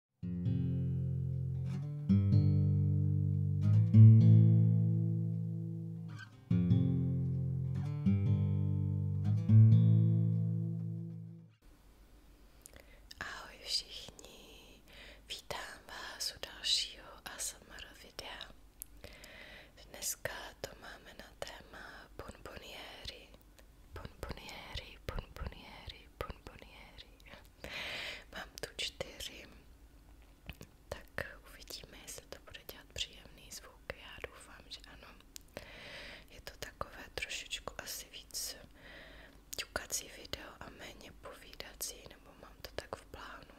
Ahoj všichni, vítám vás u dalšího ASMR videa. Dneska to máme na téma bonboniéry, bonboniéry, bonboniéry, bonboniéry. Mám tu čtyři, tak uvidíme, jestli to bude dělat příjemný zvuk. Já doufám, že ano. Je to takové trošičku asi víc ťukací video a méně povídací, nebo mám to tak v plánu.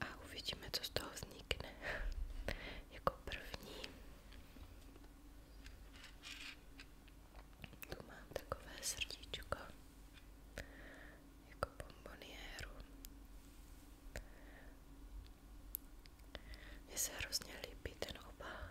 A uvidíme, co z toho vznikne. jako první tu mám takové srdíčko jako bombonieru. Mně se hrozně líbí ten obal.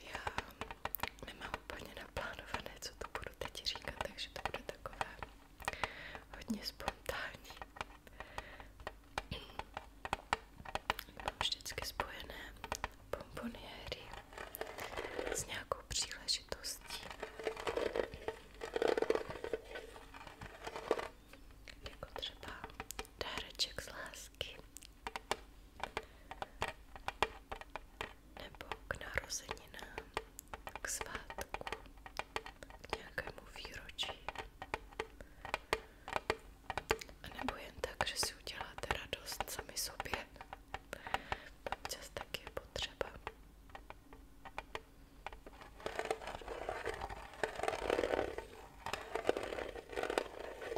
Já nemám úplně naplánované, co to budu teď říkat, takže to bude takové hodně spontánní. Mám vždycky spojené bomboniéry s nějakou příležitostí. Jako třeba dáreček z lásky nebo k narozeninám, k svátku, k nějakému výročí, a nebo jen tak, že si uděláte radost sami sobě. Občas taky je potřeba.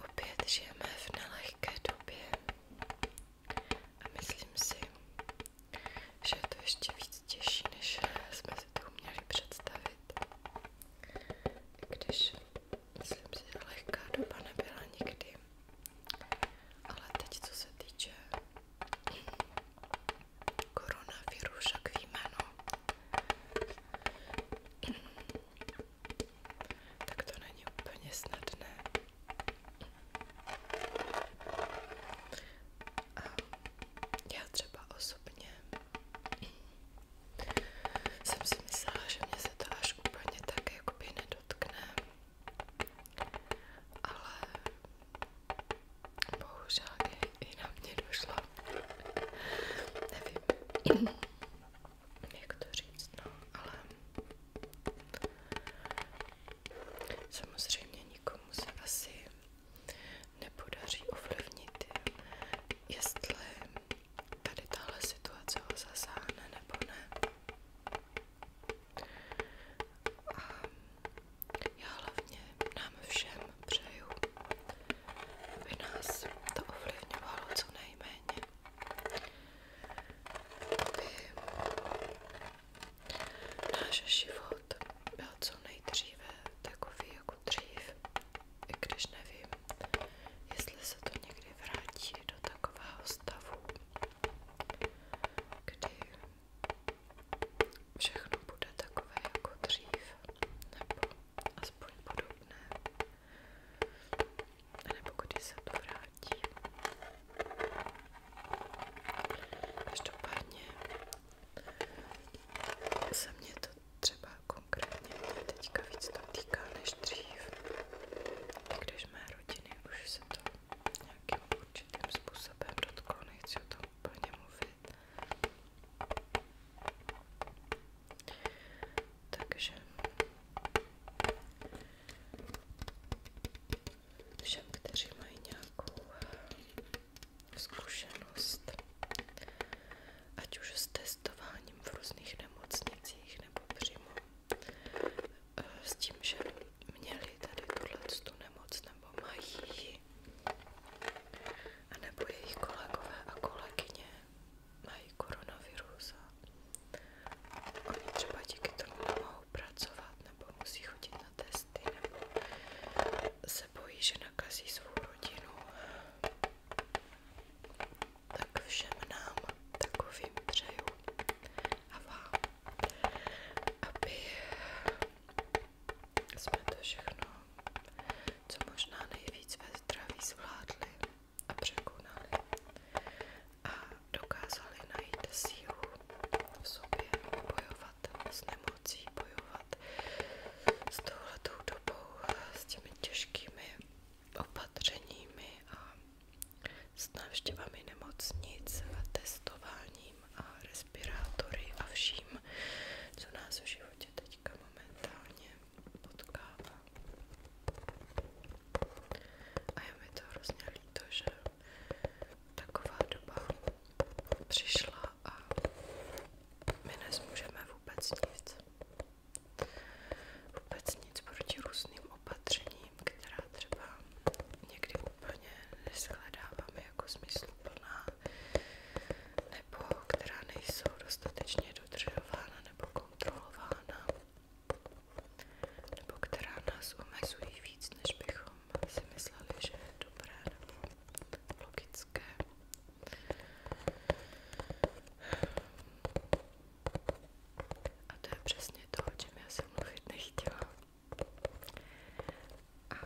Opět žijeme v nelehké době a myslím si, že to ještě víc těžší, než jsme si to uměli představit. Když myslím si, že lehká doba nebyla nikdy. Ale teď, co se týče koronaviru, však víme, no. Tak to není úplně snadné. A já třeba osobně jsem si myslela, že mě se to až úplně tak jakoby nedotkne, ale bohužel i, i na mě došlo, nevím, jak to říct, no, ale samozřejmě nikomu se asi nepodaří ovlivnit, jestli tady tahle situace ho zasáhne nebo ne. A já hlavně nám všem přeju, aby nás to ovlivňovalo co nejméně. Aby náš život byl co nejdříve takový jako dřív, i když nevím, jestli se to někdy vrátí do takového stavu, kdy všechno bude takové jako dřív, nebo aspoň podobné, nebo když se to vrátí. Každopádně se mě to třeba konkrétně mě teďka víc to týká než dřív. I když mé rodiny už se to nějakým určitým způsobem dotklo, nechci o tom úplně mluvit. Takže všem, kteří mají nějakou zkušenost ať už s testováním v různých nemocnicích nebo přímo eh, s tím, že měli tady tuhle nemoc nebo mají ji, a nebo jejich kolegové a kolegyně mají koronavirus a oni třeba díky tomu nemohou pracovat nebo musí chodit na testy nebo se bojí, že nakazí svou rodinu tak všem nám takovým přeju a vám, aby jsme to všechno co možná nejvíc ve zdraví zvládli a překonali a dokázali najít sílu v sobě bojovat s nemocí, bojovat s touhletou dobou, s těmi těžkými opatřeními a s návštěvami nemocnic a testováním a respirátory a vším, co nás v životě teďka momentálně potkává. A je mi to hrozně líto, že taková doba přišla a my nezmůžeme vůbec nic vůbec nic proti různým opatřením, která třeba někdy úplně neshledáváme jako smysluplná, nebo která nejsou dostatečně dodržována nebo kontrolována, nebo která nás omezují víc, než bychom si mysleli, že je dobré nebo logické. A to je přesně to, o čem já jsem mluvit nechtěla. A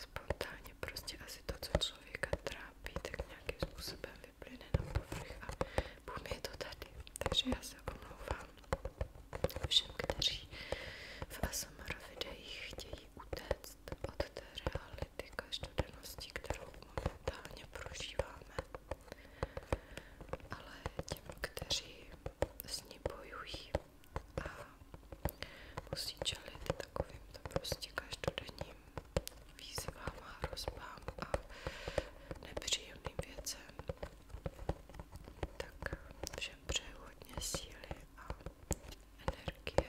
spontánně prostě asi to, co člověka trápí, tak nějakým způsobem vyplyne na povrch a bum je to tady. Takže já se omlouvám všem, kteří v ASMR videích chtějí utéct odvést od té reality každodennosti, kterou momentálně prožíváme. Ale těm, kteří s ní bojují a musí čelit takovýmto prostě každodenním výzvám a hrozbám a nepříjemným věcem, tak všem přeju hodně síly a energie,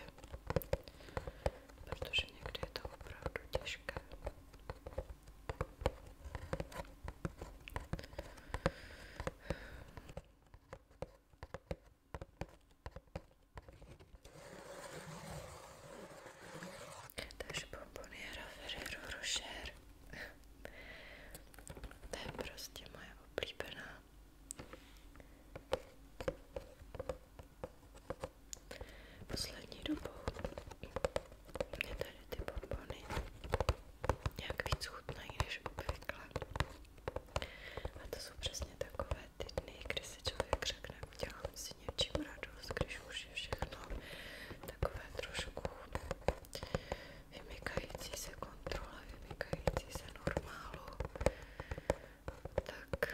protože někdy je to opravdu těžké. Takže bomboniera Ferrero Rocher to je prostě moje oblíbená Poslední dobou mě tady ty bonbony nějak víc chutnají než obvykle. A to jsou přesně takové ty dny, kdy si člověk řekne, udělám si něčím radost, když už je všechno takové trošku vymykající se kontrole, vymykající se normálu. Tak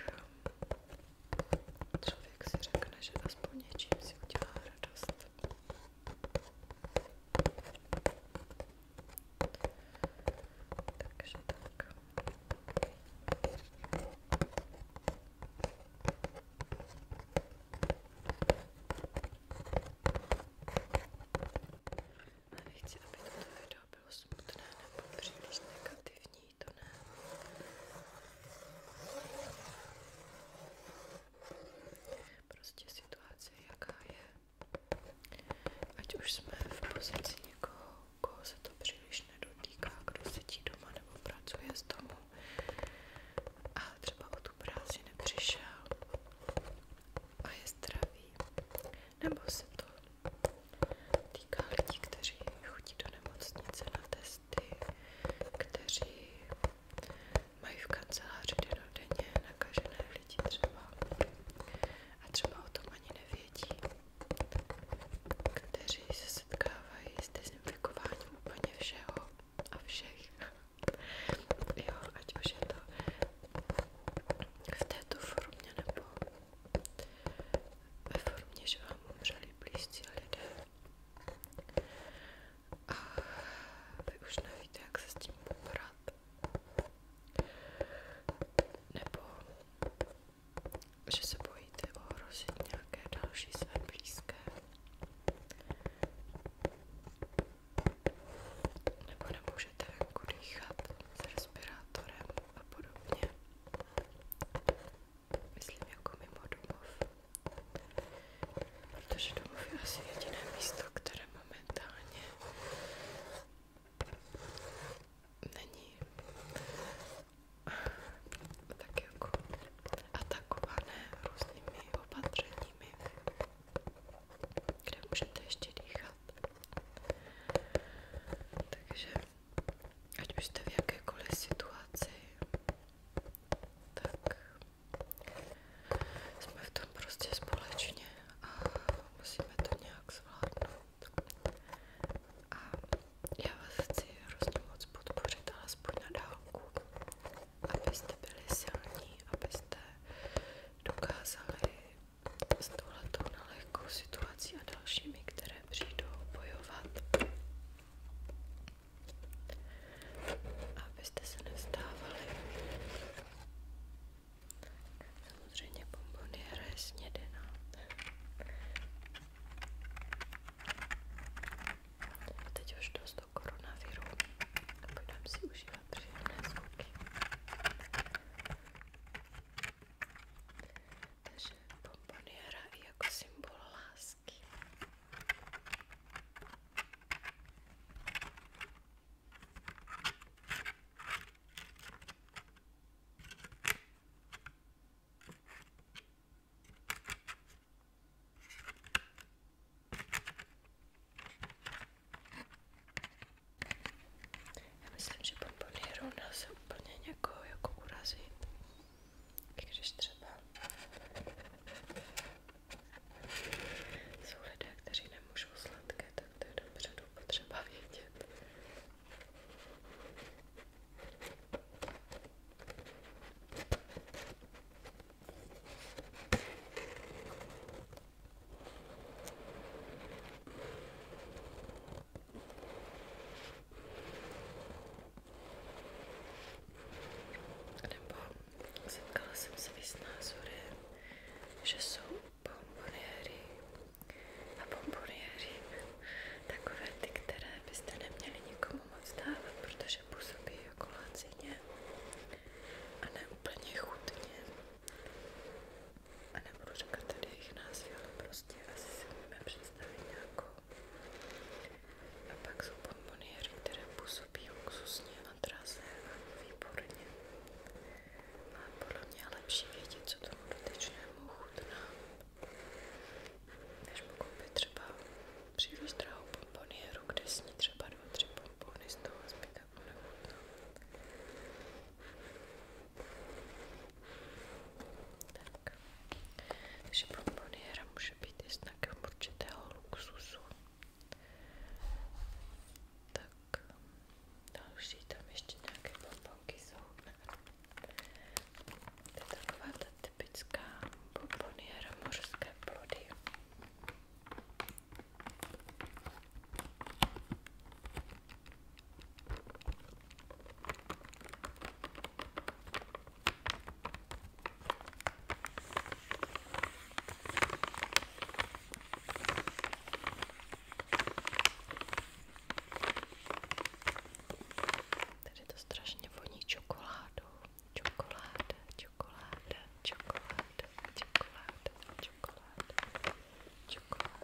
Člověk si řekne, že aspoň něčím si udělá radost. Takže tak. Nechci, aby to video video bylo smutné nebo příliš negativní, to ne. Prostě situace jaká je. Ať už jsme v pozici někoho, koho se to příliš nedotýká, kdo sedí doma nebo pracuje z domu a třeba o tu práci nepřišel a je zdravý, nebo se to týká lidí, kteří chodí do nemocnice na testy, kteří mají v kanceláři denodenně nakažené lidi třeba a třeba o tom ani nevědí, kteří se setkávají s dezinfikováním úplně všeho a všech. jo, ať už je to v této formě nebo ve formě, že vám umřeli blízcí lidé. A vy už nevíte, jak se s tím poprat. Nebo že se bojíte ohrozit nějaké další své blízké. Nebo nemůžete venku dýchat s respirátorem a podobně. Myslím jako mimo domov. Protože domov je asi jediné místo, které momentálně není tak jako atakované různými opatřeními, kde můžete ještě Takže ať už jste v jakékoliv situaci, tak jsme v tom prostě společně a musíme to nějak zvládnout. A já vás chci hrozně moc podpořit, alespoň na dálku, abyste byli silní, abyste dokázali s touhletou nelehkou situací a dalšími, které přijdou bojovat. Abyste se nevzdávali. Samozřejmě bomboniéra je snědená. Teď už dost do koronaviru. Budeme si užívat příjemné zvuky. Takže pomponiéra i jako symbol lásky. Já myslím, že podporný rovna se úplně někoho jako urazí. Když třeba jsou lidé, kteří nemůžou sladké, tak to je dopředu potřeba vědět. Nebo setkala jsem se i s názorem, že jsou bomboniéry a bomboniéry takové ty, které byste neměli nikomu moc dávat, protože působí jako lacině a ne úplně chutně a nebudu říkat tady jejich názvy, ale prostě asi si umíme představit nějakou. A pak jsou bonboniéry, které působí luxusně a draze a výborně. A podle mě je lepší vědět, co tomu dotyčnému chutná, než mu koupit třeba příliš drahou bombonieru, kde sní třeba dva, tři bombony z toho zbytek nechutná. Tak. Takže bomboniéra může být i znakem určitého luxusu. Tak. Další tam ještě nějaké bombonky jsou. To je taková ta typická bomboniéra mořské plody. Tady to strašně voní čokoládu. Čokoláda, čokoláda, čokoláda, čokoláda, čokoláda, čokoláda.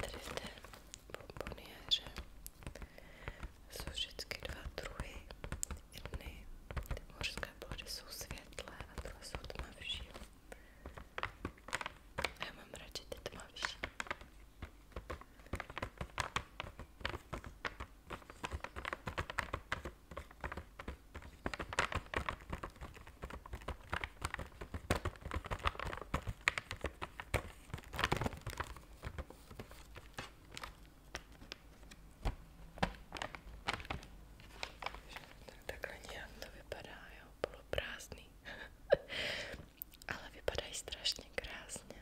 Tady v té bomboniéře jsou vždycky dva druhy. Jedny ty mořské plody jsou světlé a tyhle jsou tmavší. Já mám radši ty tmavší. Takhle nějak to vypadá, jo, poloprázdný ale vypadají strašně krásně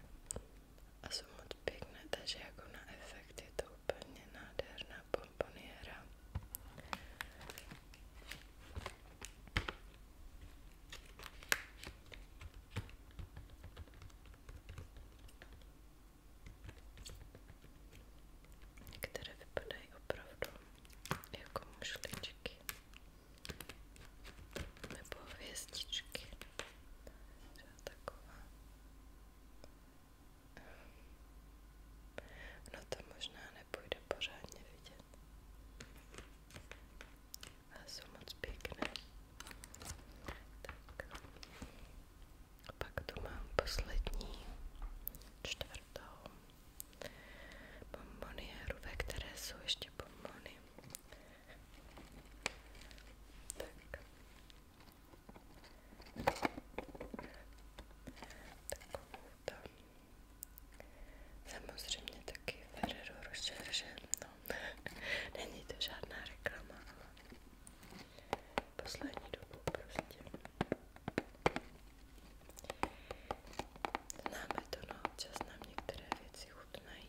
a jsou moc pěkné, takže jako na efekt je to úplně nádherná pomponiéra. Některé vypadají opravdu jako mušličky nebo hvězdičky, třeba taková. No to možná nepůjde pořádně vidět. Ale jsou moc pěkné. Tak. A pak tu mám poslední čtvrtou bombonieru, ve které jsou ještě bombony. Tak. Takovou tam. Samozřejmě taky Ferrero Rocher, že no. Není to žádná reklama, ale poslední dobu prostě. Známe to, no občas nám některé věci chutnají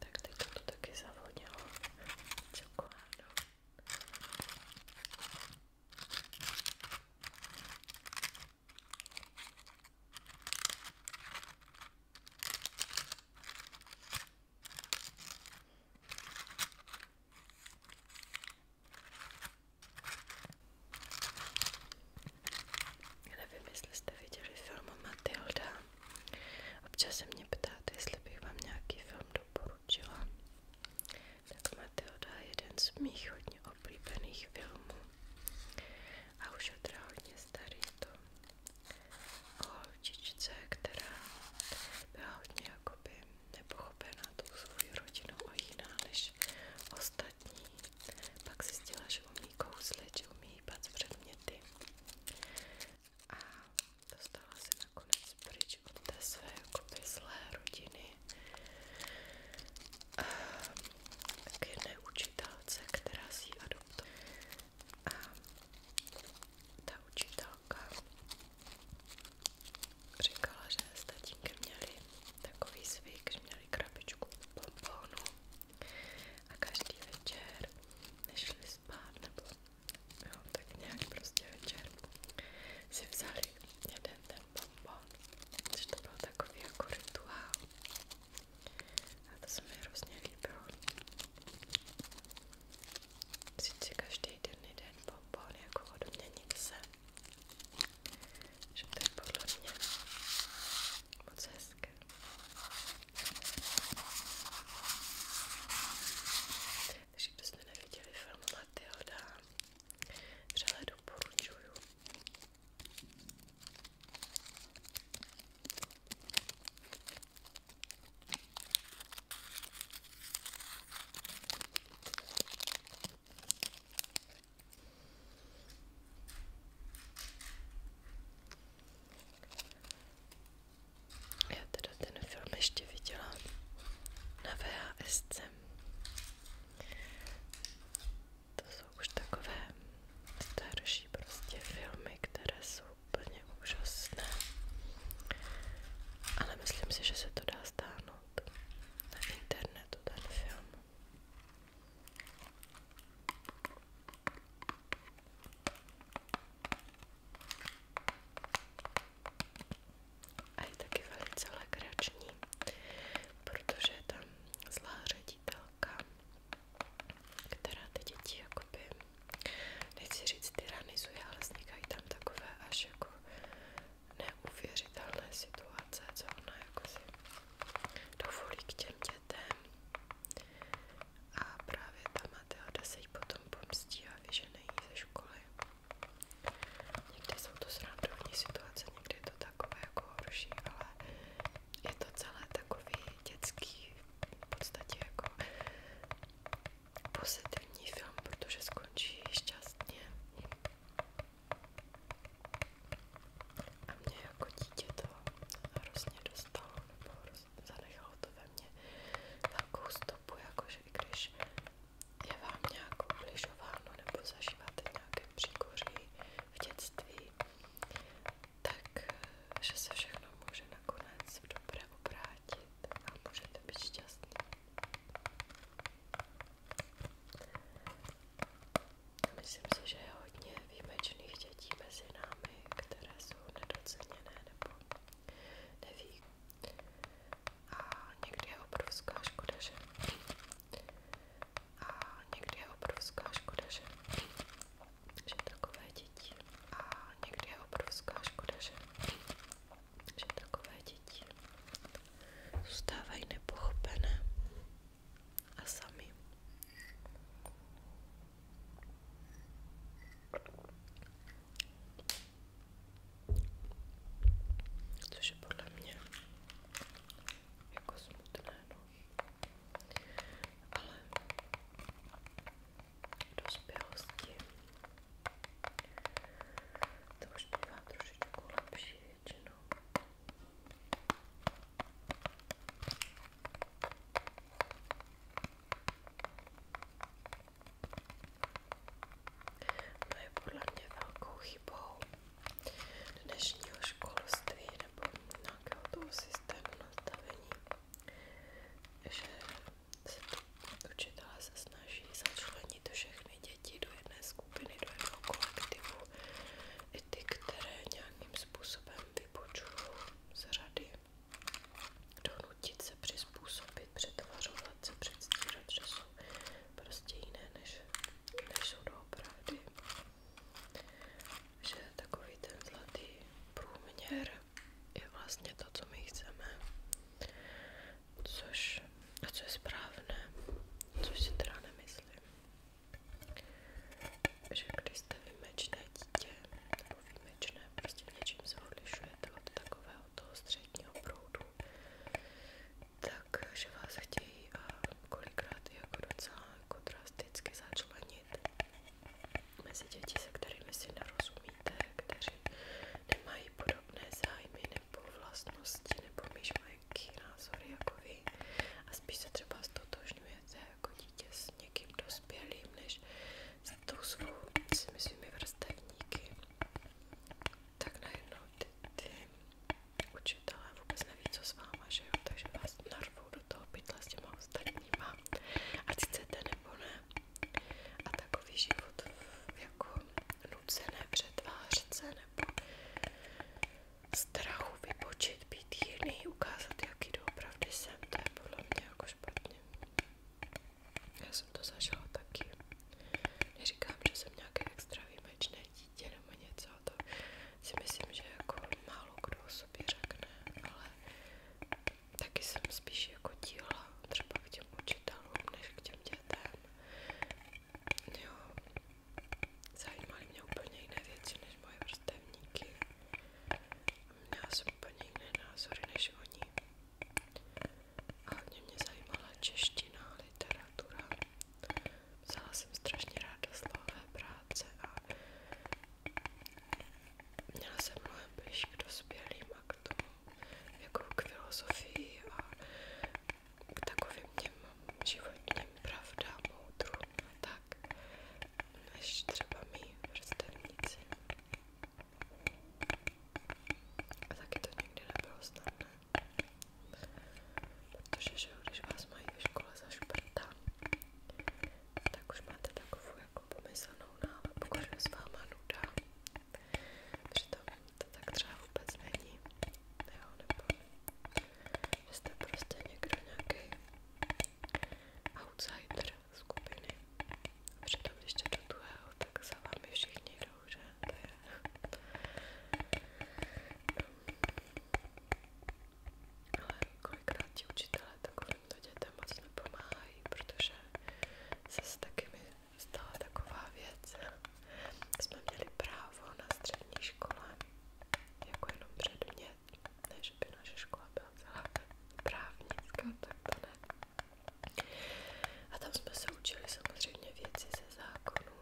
tak teď to taky zavodilo čokoládu. Nevím, jestli jste viděli film Matilda. Občas se mě ptáte, jestli bych vám nějaký film doporučila tak Matilda je jeden z mých hodně oblíbených filmů. A už je teda hodně starý to o holčičce, která byla hodně jakoby nepochopená tou svou rodinou a jiná než ostatní. Pak zjistila, že umí kouzlit, že umí hýbat předměty. A to dostala se nakonec pryč od té své rodiny a k která si adoptovala a ta učitelka říkala, že s tatínkem měli takový zvyk, že měli krabičku pomponu a každý večer nešli spát nebo jo, tak nějak prostě večer si vzali dobrý, jeden ten bonbon, což to byl takový jako rituál a to se mi hrozně líbilo. Sice každý den jeden bonbon, jako ode mě nic se, že to je podle mě moc hezké. Takže kdo jste neviděli film Matilda, vřele doporučuju. Já teda ten film ještě viděla na VHS. To jsou už takové starší prostě filmy, které jsou úplně úžasné. Ale myslím si, že se to dá stáhnout na internetu ten film a je taky velice legrační, protože je tam zlá ředitelka, která ty děti jakoby, nechci říct tyranizuje, ale vznikají tam takové až jako neuvěřitelné situace, co ona jako si dovolí k těm dětem a právě ta Matilda se jí potom pomstí a vyžene jí ze školy. Někdy jsou to srandovní situace, někdy je to takové jako horší, ale je to celé takový dětský, v podstatě jako pozitivní film, protože skončí šťastně. A mě jako dítě to hrozně dostalo, nebo zanechalo to ve mně velkou stopu, jakože i když je vám nějak ubližováno nebo zažíváte nějaké příkoří v dětství, tak že se všechno může nakonec v dobré obrátit a můžete být šťastní. Myslím si, že je hodně výjimečných dětí mezi námi, které jsou nedoceněné nebo neví, a někdy je obrovská škoda, že? A někdy je obrovská škoda, že? Že takové děti. A někdy je obrovská škoda, že? Že takové děti zůstávají nepochopené a sami. Což je podle mě jako smutné, no. Ale v dospělosti to už bývá trošičku lepší většinou. To je podle mě velkou chybou dnešního školství nebo nějakého toho systému nastavení, že se učitelé se snaží začlenit všechny děti do jedné skupiny, do jednoho kolektivu, i ty, které nějakým způsobem vypočují z řady donutit se přizpůsobit, přetvařovat se, předstírat, že jsou prostě jiné, než, než jsou doopravdy. Že takový ten zlatý průměr je vlastně to, co my chceme, což, a co je správné, což si teda nemyslím. Že když jste výjimečné dítě, nebo výjimečné, prostě něčím se odlišujete od takového toho středního proudu, takže vás chtějí kolikrát jako docela jako drasticky začlenit mezi děti, se kterými si nerozumíte, kteří nemají podobné zájmy nebo vlastnosti nebo myšlenky, názory jako vy a spíš se třeba stotožňujete jako dítě s někým dospělým, než tou svou, s těmi svými vrstevníky, tak najednou ty, ty učitelé vůbec neví, co s váma, že jo, takže vás narvou do toho pytle s těma ostatníma, ať chcete nebo ne. A takový život jako nucené přetvářet se nebo strachu vypočit, být jiný, ukázat, jaký doopravdy jsem, to je podle mě jako špatně. Já jsem to zažila taky. Neříkám, že jsem nějaké extra výjimečné dítě nebo něco, to si myslím, že jako málo kdo o sobě řekne, ale taky jsem spíš jako díla třeba k těm učitelům, než k těm dětem. Jo, zajímaly mě úplně jiné věci než moje vrstevníky. Měla jsem úplně jiné názory než oni. Hlavně mě zajímala čeština, literatura. Vzala jsem strašně ráda slohové práce a měla jsem mnohem blíž k dospělým a k tomu, jako k filozofii a k takovým těm životním pravdám, moudrům a tak, než třeba mý vrstevníci. A taky to nikdy nebylo snadné. Protože že, vás mají ve škole za šprta, tak už máte takovou jako pomyslnou nálepku, že s váma nuda. Přitom to tak třeba vůbec není. Jo, nebo že jste prostě někdo nějaký outsider, lídr skupiny. A přitom ještě do druhého, tak za vámi všichni jdou, že? To je... Ale kolikrát ti učitelé takovýmto dětem moc nepomáhají, protože se taky mi stala taková věc. Jsme měli právo na střední škole jako jenom předmět, ne, že by naše škola byla celá právnická, tak to ne. A tam jsme se učili samozřejmě věci ze zákonů.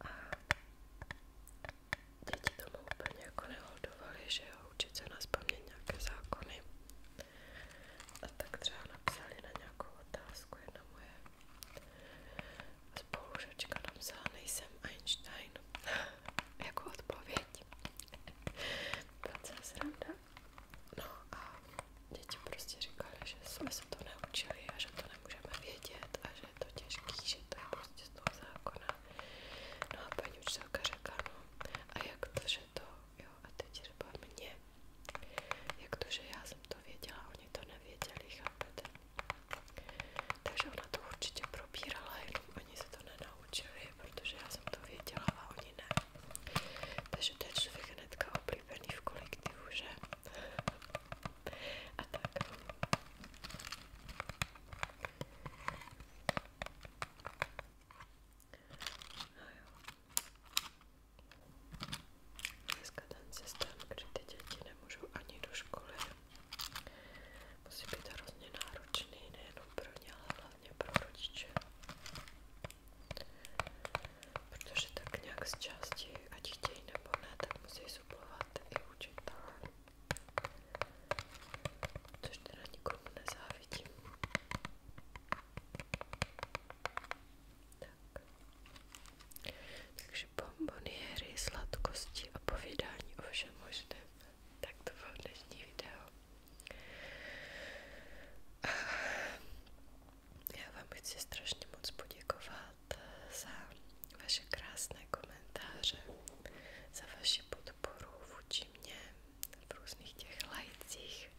A děti tomu úplně jako neholdovali, že jo, učit na spamět nějaké zákony. A tak třeba napsali na nějakou otázku jedna moje spolužačka napsala, nejsem Einstein, jako odpověď. Byla celá sranda. No a děti prostě říkali, že jsme se to neučili a že to nemůžeme vědět a že je to těžký, že to je prostě z toho zákona. No a paní učitelka řekla, no a jak to, že to, jo, a teď třeba mě, jak to, že já jsem to věděla, oni to nevěděli, chápete? Takže ona to určitě probírala, jenom oni se to nenaučili, protože já jsem to věděla a oni ne. Takže to je člověk hnedka oblíbený v kolektivu, že? A tak. No jo. Dneska ten systém, kdy ty děti nemůžou ani do školy, musí být hrozně náročný, nejenom pro ně, ale hlavně pro rodiče. Protože tak nějak z části, ať chtějí nebo ne, tak musí suplovat i učitelé. Což teda nikomu nezávidím. Tak. Takže bomboniery, sladkosti a povídání o všem možném. Tak to bylo dnešní video. A já vám chci strašně moc poděkovat za vaše krásné komentáře, za vaši podporu vůči mě v různých těch lajcích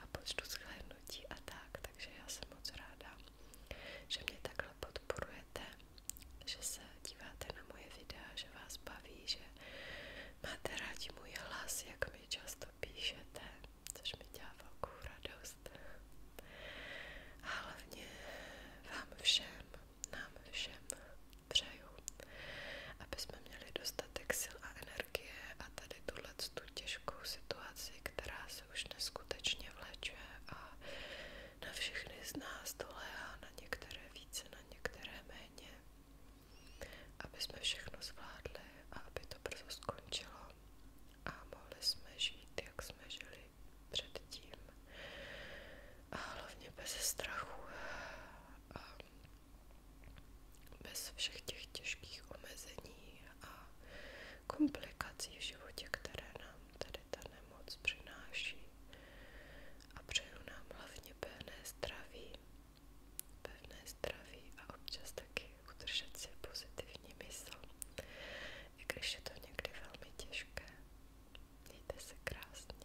a počtu shlédnutí a tak, takže já jsem moc ráda, že mě takhle podporujete, že se díváte na moje videa, že vás baví, že Máte rádi můj hlas, jak mi často píšete, což mi dělá velkou radost. A hlavně vám všem, nám všem přeju, aby jsme měli dostatek sil a energie a tady tuhle tu těžkou situaci, která se už neskutečně vlečuje a na všechny z nás dolehá, na některé více, na některé méně aby jsme všechno zvládli a aby to brzo skončilo a mohli jsme žít, jak jsme žili předtím a hlavně bez strachu a bez všech těch těžkých omezení a komplikací v životě, které nám tady ta nemoc přináší a přeju nám hlavně pevné zdraví, pevné zdraví a občas taky udržet si pozitivní mysl, i když je to někdy velmi těžké. Mějte se krásně.